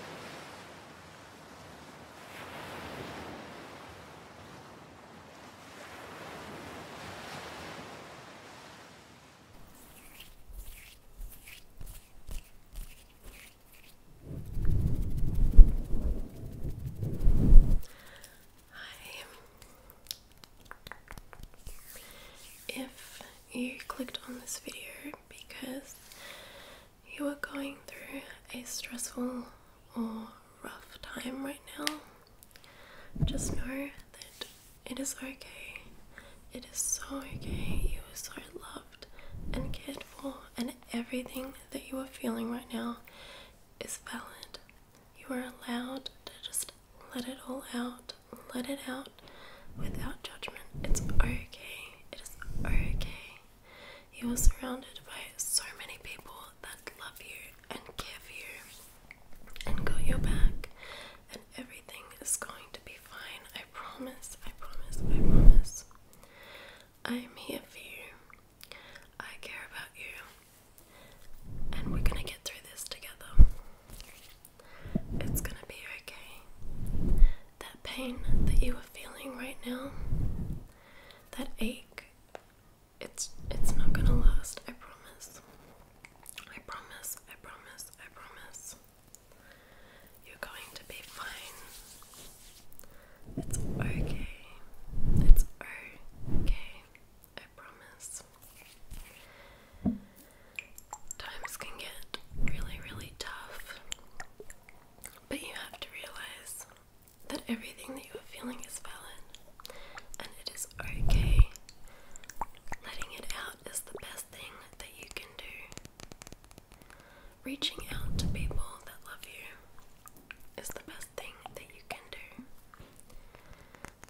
Hi. If you clicked on this video because you are going through a stressful or rough time right now, just know that it is okay. It is so okay. You are so loved and cared for, and everything that you are feeling right now is valid. You are allowed to just let it all out, let it out without judgment. It's okay. It is okay. You are surrounded by so many people that love you and care for you and got your back, and everything is going to be fine. I promise, I promise, I promise. I am here for you. I care about you. And we're gonna get through this together. It's gonna be okay that pain that you are feeling right now, that ache, it's it's not gonna last, I promise. I promise, I promise, I promise. You're going to be fine. It's okay. It's okay. I promise. Times can get really, really tough. But you have to realize that everything that you are feeling is valid and it is okay. Letting it out is the best thing that you can do. Reaching out to people that love you is the best thing that you can do.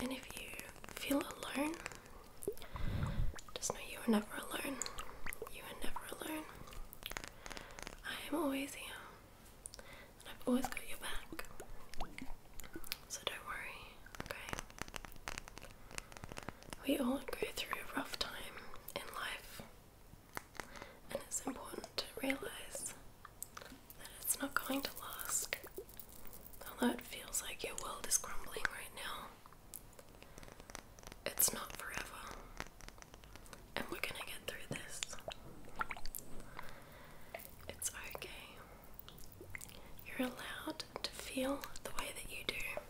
And if you feel alone, just know you are never alone. You are never alone. I am always here. And I've always got your back. So don't worry, okay? We all go through a rough time in life. And it's important to realise that it's not going to last. Although it feels like your world is crumbling right now, it's not forever. And we're gonna get through this. It's okay. You're allowed to feel the way that you do.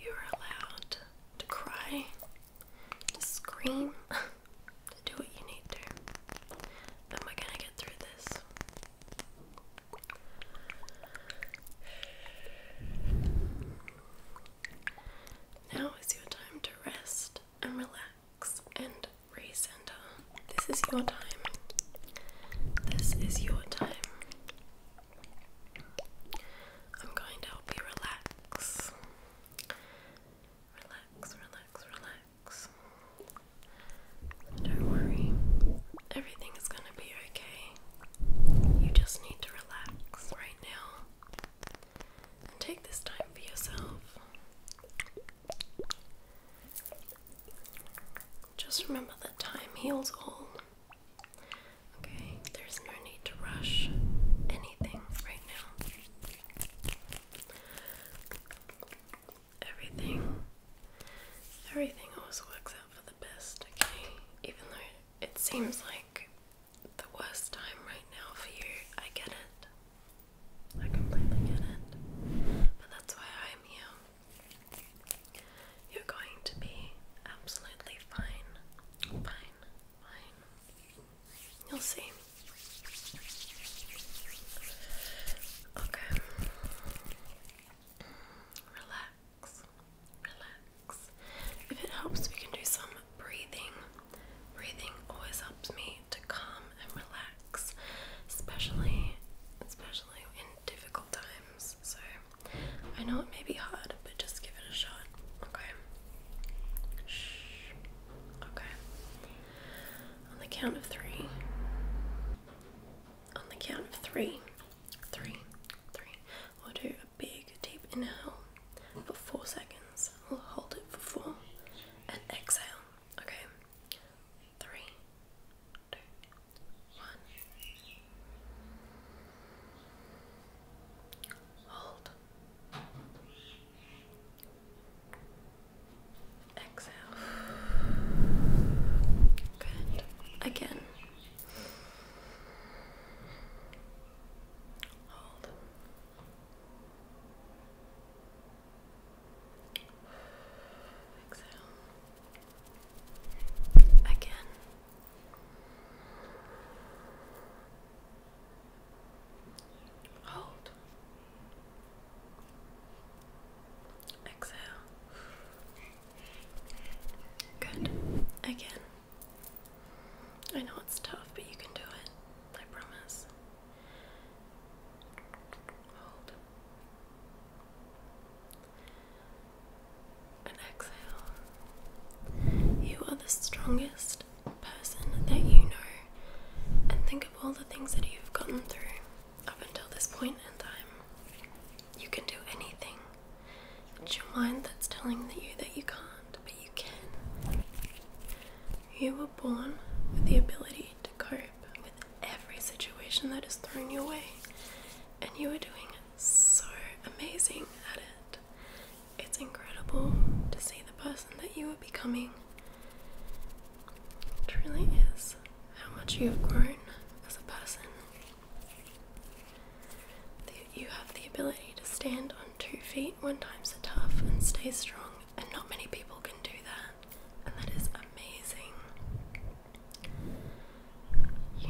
You're allowed to cry, to scream, to do what you need to. And we're gonna get through this. Now is your time to rest and relax and recenter. This is your time. This is your time. I'm going to help you relax. Relax, relax, relax. Don't worry, everything is going to be okay. You just need to relax right now take this time for yourself. Just remember that time heals all. Okay, there's no need to rush anything right now. Everything, everything always works out for the best, okay? Even though it seems like the worst time right now for you. I get it. I completely get it. But that's why I'm here. You're going to be absolutely fine. Fine. Fine. You'll see. Okay. Relax relax. If it helps, we can do some breathing. Breathing always helps me to calm and relax, especially especially in difficult times. So I know it may be hard, but just give it a shot. Okay. Shh. Okay. On the count of three. On the count of three, Three, three. We'll do a big deep inhale for four seconds. We'll hold it for four and exhale. Okay. Three, two, one. Hold. Exhale. Good. Again. Hold. Exhale. Again. Hold. Exhale. Good. Again. I know it's tough, but you can do it. I promise. And exhale. You are the strongest person that you know. And think of all the things that you've gotten through up until this point in time. You can do anything. It's your mind that's telling you that you can't, but you can. You were born with the ability to cope with every situation that is thrown your way, and you are doing so amazing at it. It's incredible to see the person that you are becoming. It really is how much you have grown as a person you have the ability to stand on two feet when times are tough and stay strong, and not many people can do that, and that is amazing.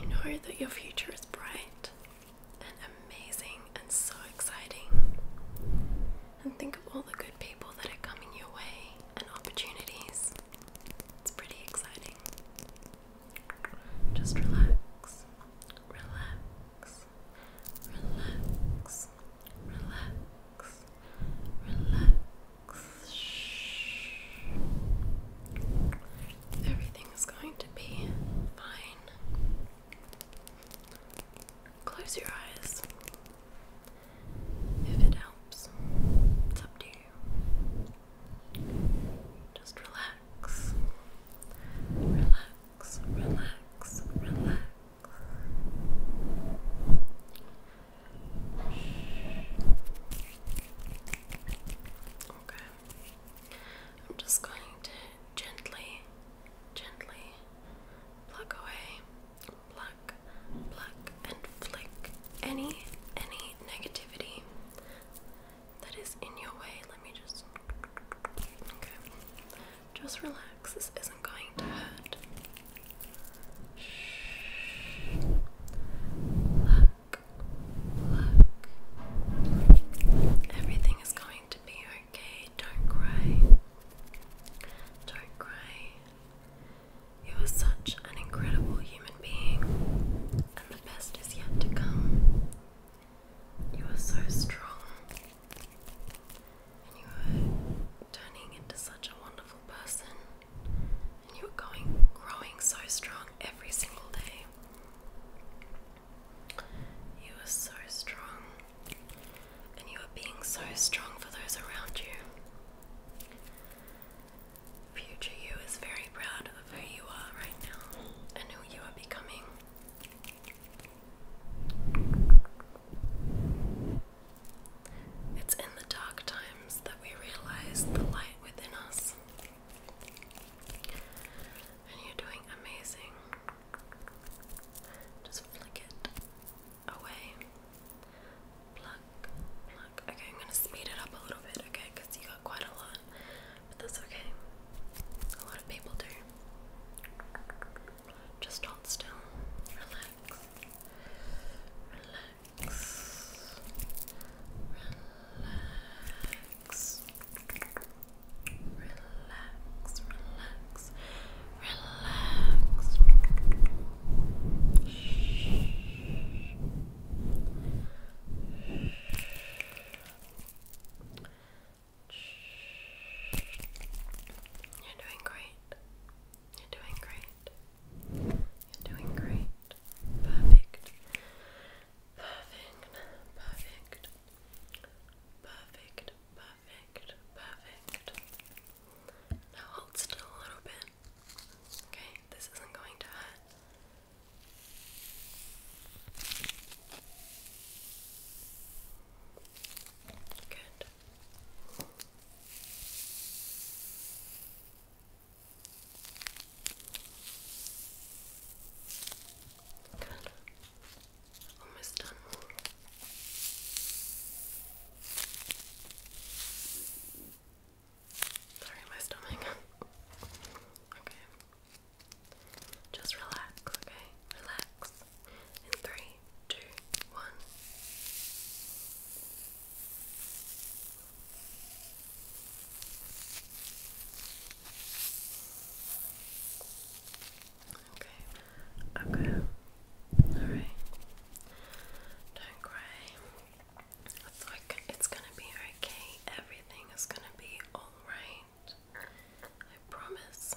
You know that your future is bright and amazing and so exciting. And think of all the good people that are coming your way and opportunities. It's pretty exciting. Just relax, relax, relax, relax, relax. Everything is going to be fine. Close your eyes if it helps. It's up to you. Just relax. Relax, relax, relax. Okay. I'm just going to gently, gently pluck away, pluck, pluck, and flick any, any negativity that is in your way. Let me just. Okay. Just relax. This isn't going to hurt. Shh. Look. Look. Everything is going to be okay. Don't cry. Don't cry. You are such an incredible human being, and the best is yet to come. You are so strong, and you are turning into such a wonderful person, and you were going, growing so strong every single day. You are so strong, and you are being so strong for those around you. Future you is very proud of who you are right now and who you are becoming. It's in the dark times that we realize the light within us. And you're doing amazing. Just flick it away. Pluck, pluck. Okay, I'm gonna speed it up a little bit, okay, you got quite a lot but that's okay. A lot of people do. Just hold still, relax, relax, relax, relax, relax, relax. Shh. You're doing great. You're doing great. You're doing great. Perfect. Perfect. Perfect. Perfect. Perfect. Perfect. Now hold still a little bit. Okay, this isn't going to hurt. Good. Good. Almost done. Sorry, my stomach. okay. Just relax, okay? Relax. In three, two, one. Okay, okay. Alright. Don't cry. It's like it's gonna be okay. Everything is gonna be alright paint. I promise.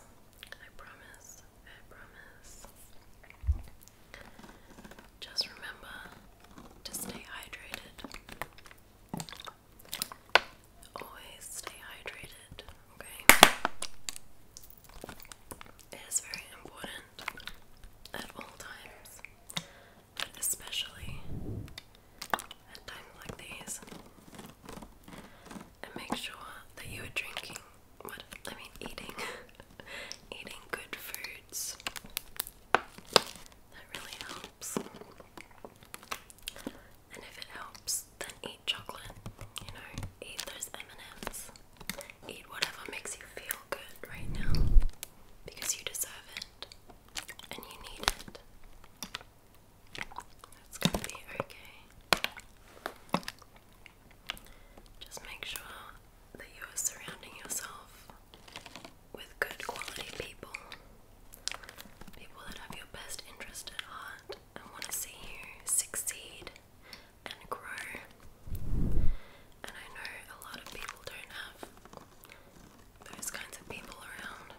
I promise. I promise. Just remember to stay hydrated. Always stay hydrated, okay? It is very important at all times, but especially at times like these and make sure that you are drinking what I mean eating eating good foods. That really helps. And if it helps, then eat chocolate. You know, eat those M&Ms. Eat whatever makes you feel good right now because you deserve it and you need it. That's gonna be okay. Just make sure that you are surrounding yourself with good quality people. People that have your best interest at heart and want to see you succeed and grow. And I know a lot of people don't have those kinds of people around.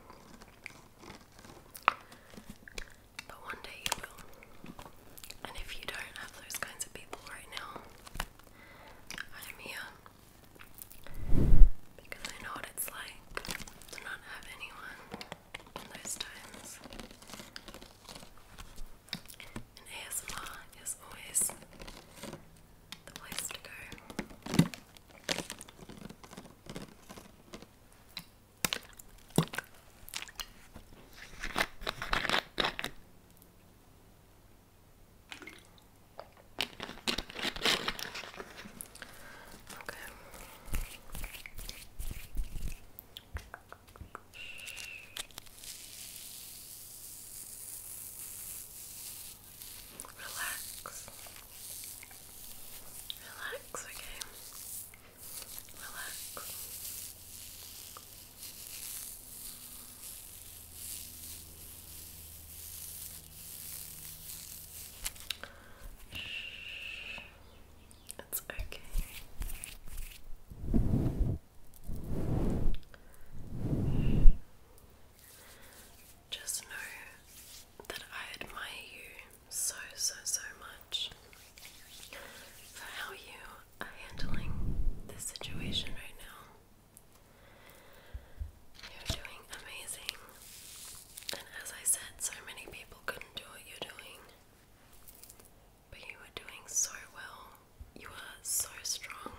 But one day you will. And if you don't have those kinds of people right now, I'm here. Because I know what it's like to not have anyone in those times. And ASMR is always the place to go. Okay. Relax. Relax, okay? Relax. It's okay. Just know that I admire you so, so, so much for how you are handling this situation right now. You're doing amazing. And as I said, so many people couldn't do what you're doing. But you are doing so well. You are so strong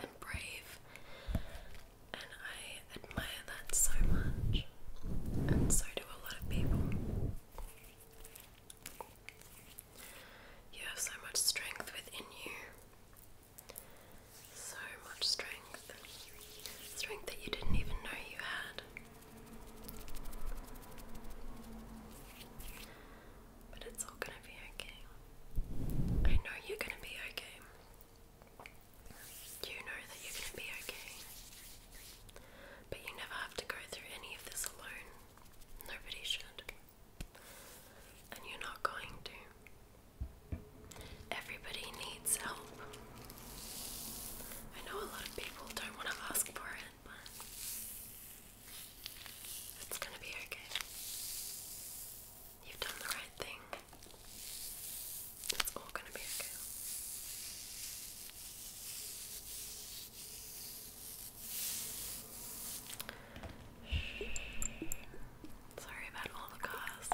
and brave. And I admire that so much, and so do a lot of people. You have so much strength within you. So much strength. Strength that you didn't even know you had. But it's all gonna be okay. I know you're gonna be okay. You know that you're going to be okay. But you never have to go through any of this alone. Nobody should. And you're not going to. Everybody needs help. I know a lot of people don't want to ask for it, but it's going to be okay. You've done the right thing. It's all gonna be okay. Sorry about all the cars.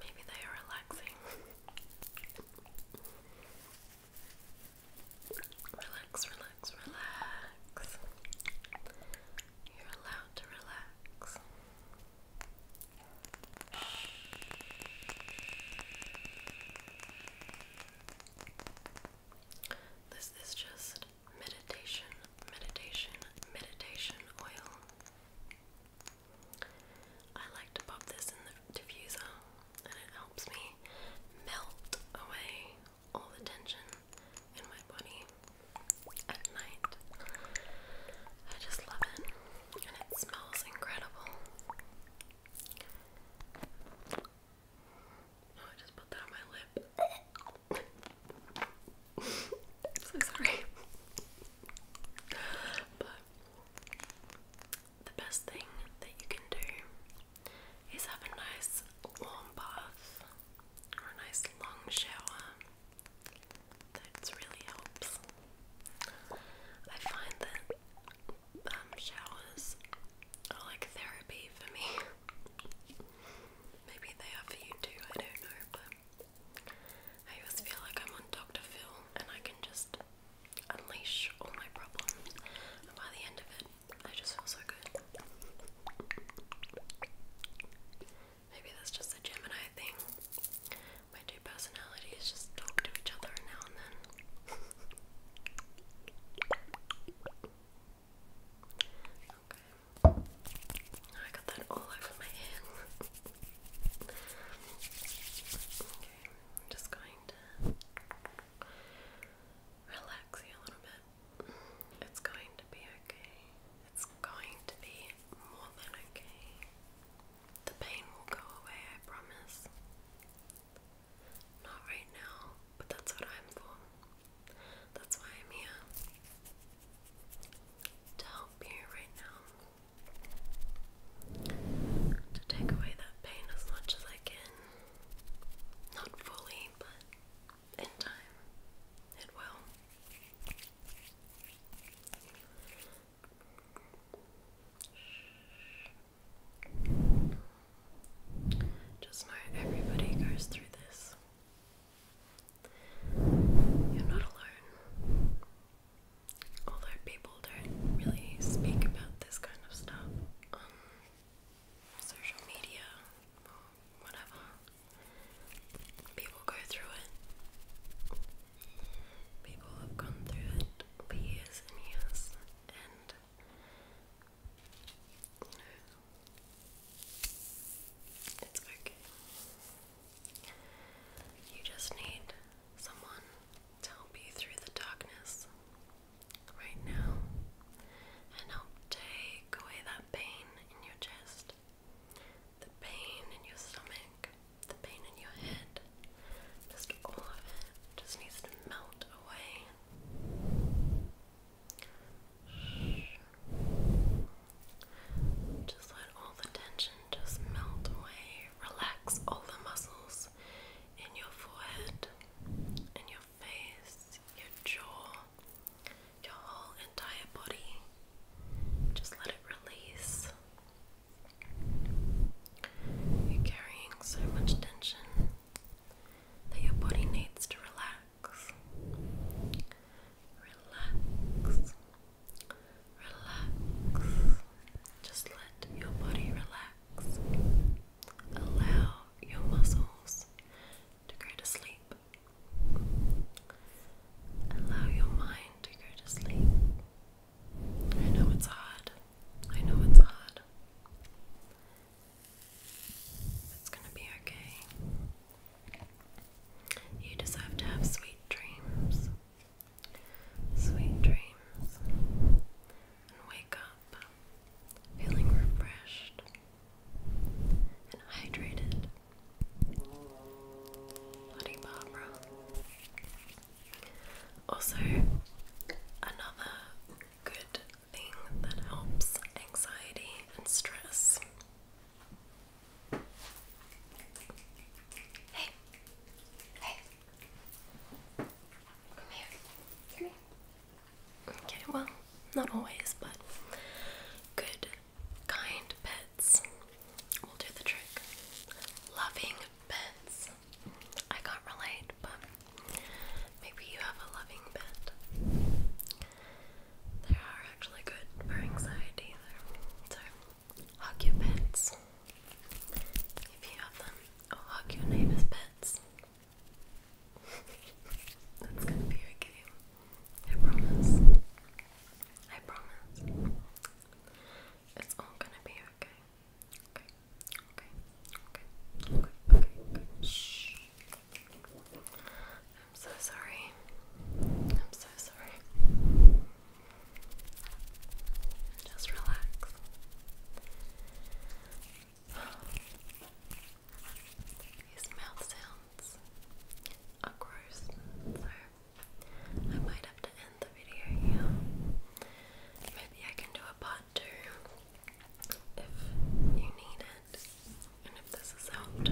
Maybe they are relaxing. relax, relax, relax. You're allowed to relax. This is just meditation, meditation, meditation oil. I like to pop this in the diffuser and it helps me melt away all the tension in my body at night. I just love it and it smells incredible. Oh, I just put that on my lip. so sorry. but the best thing that you can do is have a nice warm bath or a nice long shower that really helps. I find that um, showers are like therapy for me. Maybe they are for you too, I don't know, but I always feel like I'm on Dr. Phil and I can just unleash all my problems. And by the end of it, I just feel so good. Maybe that's just a Gemini thing. My two personalities just talk to each other now and then. okay. I got that all over my hand. okay, I'm just going to relax you a little bit. It's going to be okay. It's going to be more than okay. The pain will go away, I promise. Not right now, but that's what I'm for. That's why I'm here. To help you right now. To take away that pain as much as I can. Not fully, but in time, it will. Just know everybody goes through this. You're not alone. Although people don't really speak about this kind of stuff on um, social media or whatever, people go through it. People have gone through it for years and years, and you know, it's okay. You just need someone to help you through the darkness right now and help take away that pain in your chest, the pain in your stomach, the pain in your head, just all of it, just needs to melt away. Just let all the tension just melt away. Relax all the muscles in your forehead, in your face, your jaw, your whole entire body. Just let it release. You're carrying so much tension that your body needs to relax. Relax. Relax. Just let your body relax. Allow your muscles to go to sleep. Allow your mind to go to sleep. I know it's odd. I know it's odd. It's gonna be okay. You just to have sweet dreams. Sweet dreams. And wake up feeling refreshed and hydrated. Buddy Barbara. Also, another good thing that helps anxiety and stress. Hey, hey, come here, here. Okay, well, not always, but good, kind pets will do the trick. Loving, pets. I can't relate, but maybe you have a loving pet. They are actually good for anxiety, So, hug your pets if you have them, hug your neighbor's pets. That's gonna be okay. I promise. I promise. It's all gonna be okay. Okay. Okay. Okay. Okay. Okay. Shh. I'm so sorry. I'm so sorry. Just relax. These mouth sounds are gross, so I might have to end the video Maybe I can do a part two if you need it and if this is helped.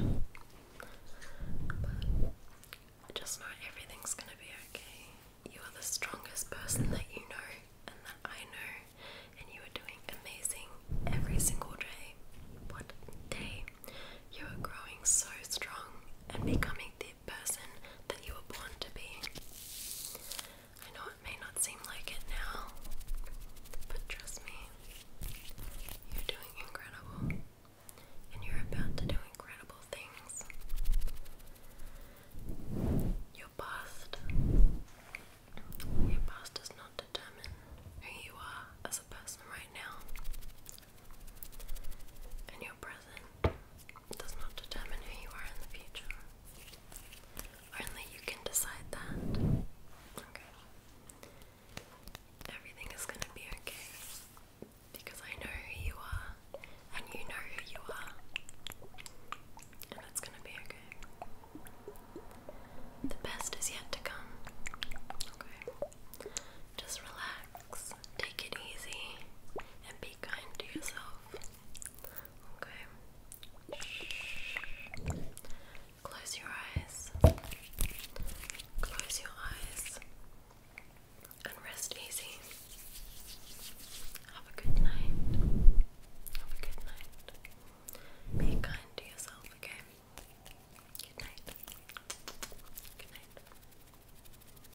But just know everything's gonna be okay. You are the strongest person that you know and that I know, and you are doing amazing every single day. What day? You are growing so strong and becoming the person that you were born to be. I know it may not seem like it now, but trust me, you're doing incredible and you're about to do incredible things. Your past. Your past does not determine who you are as a person right now. And your present it does not determine who you are in the future. Only you can decide that. Okay. Everything is gonna be okay. Because I know who you are, and you know who you are. And it's gonna be okay. The best is yet to come. Okay. Just relax take it easy, and be kind to yourself. Okay? Close your eyes. Close your eyes. And rest easy. Have a good night. Have a good night. Be kind to yourself, okay? Good night. Good night.